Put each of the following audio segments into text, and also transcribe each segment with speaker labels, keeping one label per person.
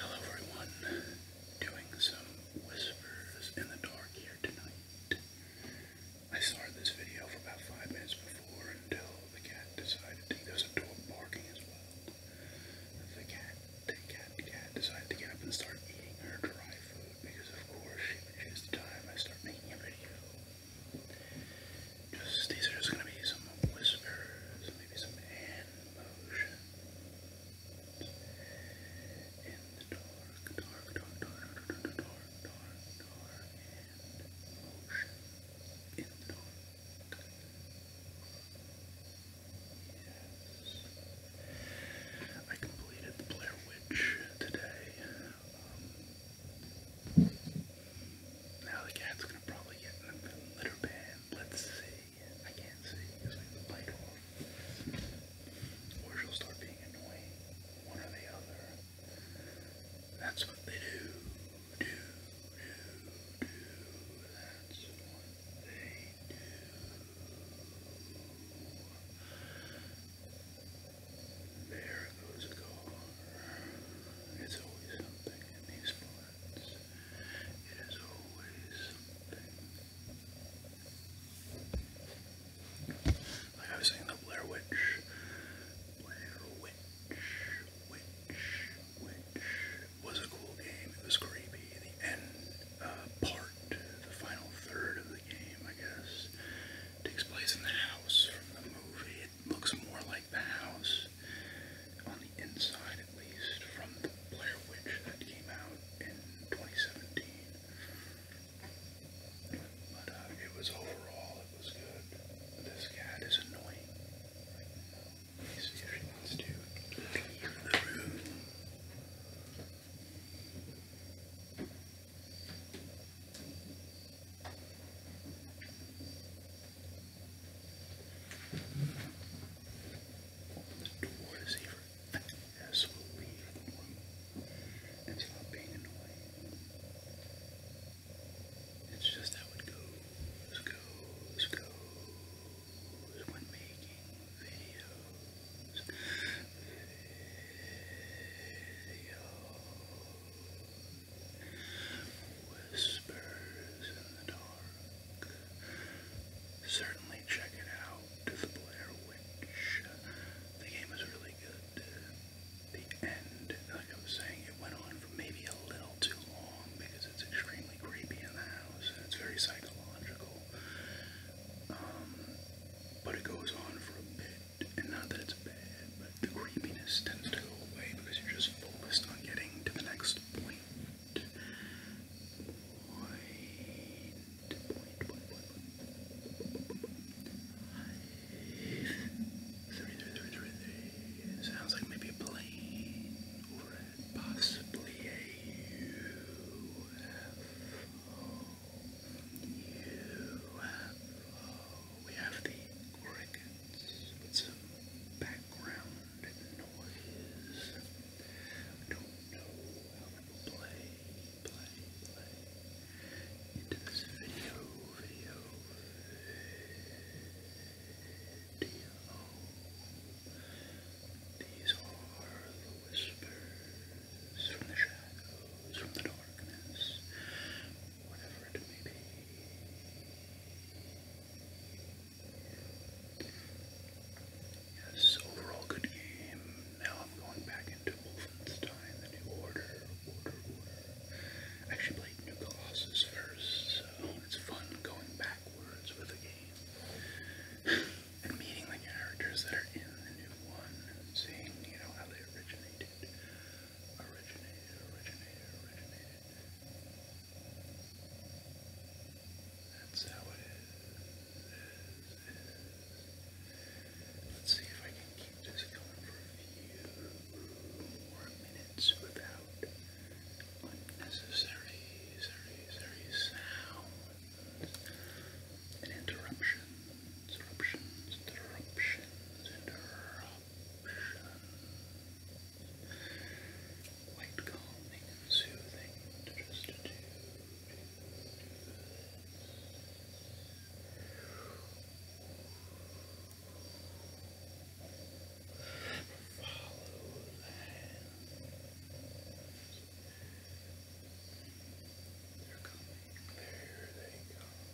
Speaker 1: Hello everyone, doing some whispers in the dark here tonight. I started this video for about five minutes before until the cat decided to, there's barking as well. The cat, the cat, the cat decided to get up and start eating her dry food because of course she would choose the time I start making a video. Just these are just gonna be some whispers, maybe some hand motions in the dark, dark, dark, dark, dark, dark, dark, dark, dark hand motion in the dark. Yes, I completed the Blair Witch today. Um, now the cat's gonna probably get in the litter pan. Let's see. I can't see because I the light off. Or she'll start being annoying. One or the other. That's what they do. Do, do, do. That's what they do. There goes a car. It's always something in these parts. I was saying, the Blair Witch. Blair Witch. Witch. Witch. Was a cool game. It was creepy. The end uh, part, the final third of the game, I guess, takes place in the house from the movie looks more like the house on the inside, at least, from the Blair Witch that came out in 2017. But uh, it was overall, it was good. This cat is annoying. Let me see leave the room. The war deceiver has slowly formed until I'm being annoyed. It's just how it goes, goes, goes when making videos. Videos. Whispers in the Dark. Certainly check it out, The Blair Witch. The game is really good. The end, like I was saying, it went on for maybe a little too long because it's extremely creepy in the house and it's very psychological. Um, but it goes on for a bit, and not that it's bad, the creepiness tends to go away because you're just focused on getting to the next point. Point, point, point, point, point. Three, three, three, three, three. Sounds like maybe a plane overhead, possibly a UFO. UFO we have the crickets with some background noise. don't know how it will play, play, play into this video, video, video. These are the whispers from the shadows, from the darkness whatever it may be. Yes, overall good game. Now I'm going back into Wolfenstein, the new order, order, order. I actually played New Colossus first, so it's fun going backwards with a game. and meeting the characters that are in the new one and seeing, you know, how they originated originated, originated, originated. That's how it it is. Let's see if I can keep this going for a few more minutes without unnecessary, sorry, sorry sounds and interruptions, interruptions, interruptions, interruptions quite calming and soothing to just do, do, do Follow the hands. They're coming. There they come.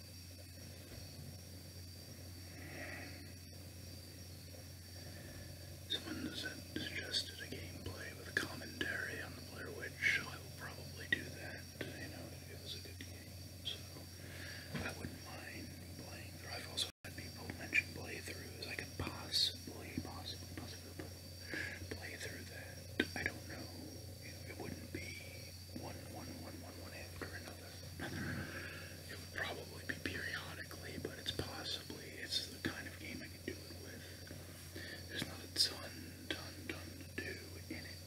Speaker 1: Someone suggested a gameplay with commentary on the Blair Witch, I will probably do that. You know, it was a good game, so I wouldn't mind playing I've also had people mention playthroughs. I could possibly, possibly, possibly play through that. I don't know. know it wouldn't be one, one, one, one, one after another. It would probably be periodically, but it's possibly, it's the kind of game I could do it with. There's not a ton, ton, ton to do in it.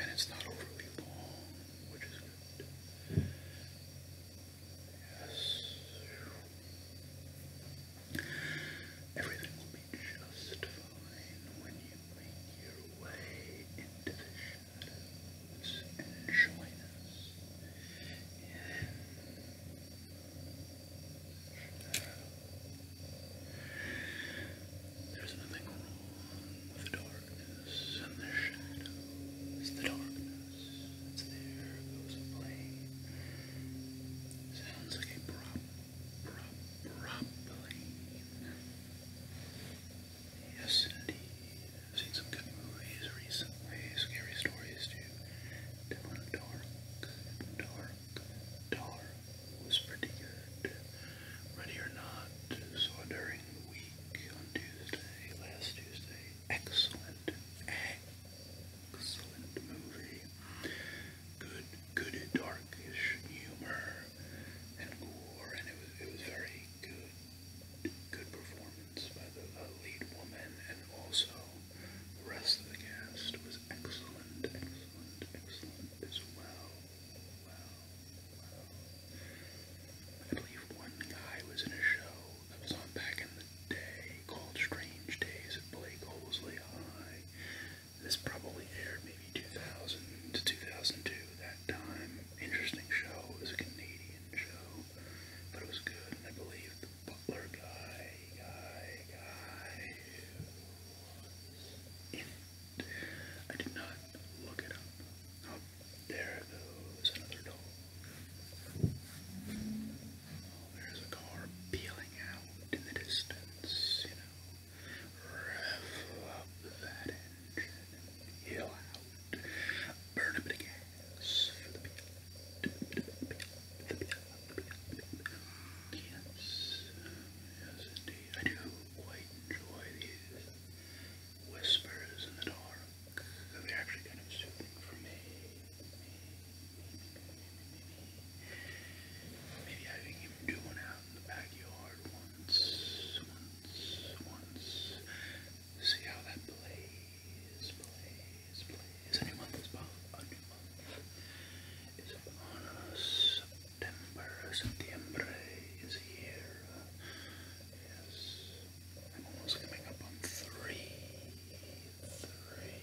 Speaker 1: And it's not overly long, which is good. Yes. Everything will be just fine when you make your way into the and join us There's nothing wrong with the darkness and the shadows. The darkness, it's there, goes away. Sounds like a prop, rumbling in them. Yes, indeed. I've seen some good movies recently. Scary stories too. That one, Dark, Dark, Dark was pretty good. Ready or Not saw during the week on Tuesday, last Tuesday. Excellent, excellent movie good, good darkish humor and gore, and it was it was very good, good performance by the uh, lead woman, and also the rest of the cast was excellent, excellent, excellent as well. Wow, I believe one guy was in a show that was on back in the day called Strange Days at Blake Holesley this probably aired maybe 2000 to 2002, that time. Interesting show. It was a Canadian show, but it was good, and I believe the Butler guy, guy, guy in it. I did not look it up. Oh, there goes another dog. there's a car peeling out in the distance, you know. Rev up that engine. Yell out. Burn a bit of gas for the pilot. Yes. indeed. I do quite enjoy these whispers in the dark. They're actually kind of soothing for me. Maybe having him do one out in the backyard once, once, once. See how that plays, plays, plays. month is about a new month. It's upon us. September, September is here. Yes. I'm almost coming up on three. Three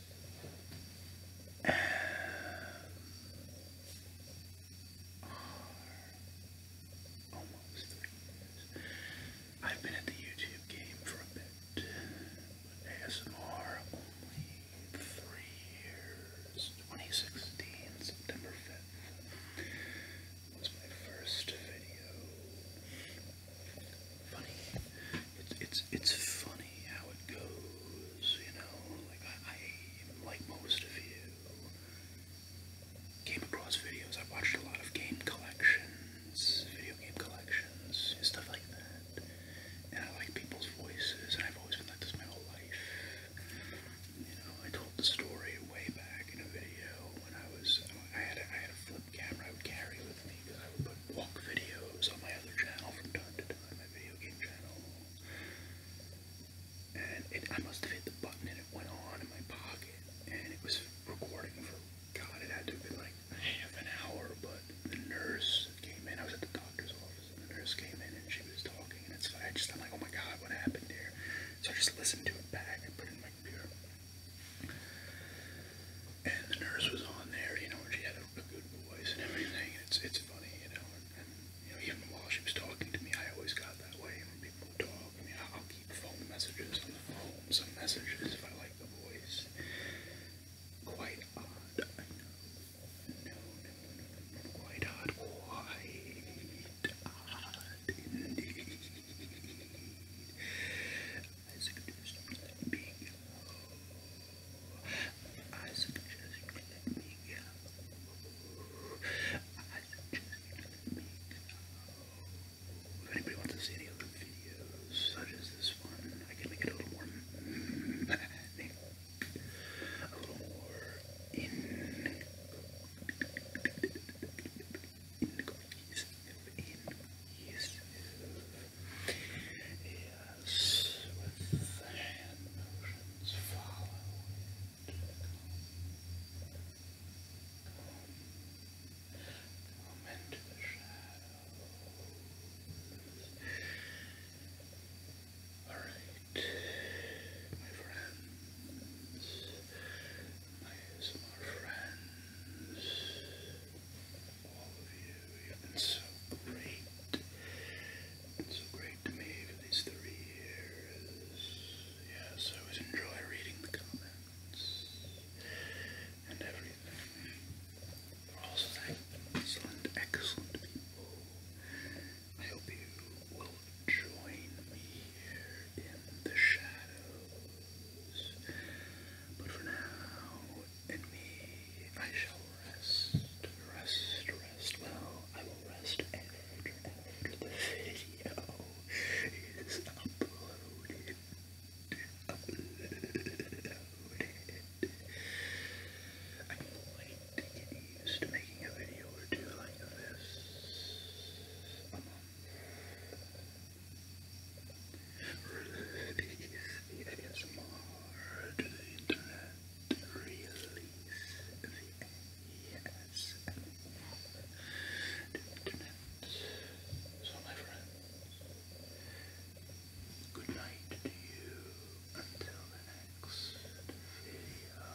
Speaker 1: Almost I've been at the YouTube game for a bit, but ASMR only three years. 2016, September 5th, was my first video. Funny it's it's it's funny how it goes, you know. Like I, like most of you, came across videos. I watched a lot of game collections, video game collections, stuff like that. And I like people's voices, and I've always been like this my whole life. You know, I told the story way back in a video when I was, I had a, I had a flip camera I would carry with me because I would put walk videos on my other channel from time to time video game channel. And I must have hit the button and it went on in my pocket. And it was recording for, God, it had to be like half an hour. But the nurse came in. I was at the doctor's office. And the nurse came in and she was talking. And it's I just, I'm like, oh my God, what happened here? So I just listened to it back and put it in my computer and the nurse was on there, you know, and she had a, a good voice and everything. It's it's funny, you know, and, and you know, even while she was talking to me, I always got that way. And when people talk, I mean, I'll keep phone messages on the phone, some messages if I like the voice. Quite odd, I know. No, no, no, no, no, quite odd, quite odd indeed. I suggest that being. I suggest you let me go. I suggest you let me go. If anybody wants to see any other videos such as this one, I can make it a little more a little more in in cohesive, in cohesive. Yes, with the hand motions, follow Come, into the shadows. All right, my friends, my ASMR friends all of you. You've been so great. Been so great to me for these three years. Yes, I always enjoy reading the comments and everything. We're also excellent, excellent people. I hope you will join me here in the shadows. But for now, in me I shall rest, rest, rest. Well, I will rest after, after the video is uploaded. Uploaded. I'm to get used to making a video or two this. Release the ASMR to the internet. Release the ASMR to the internet. So, my friends, good night to you until the next video.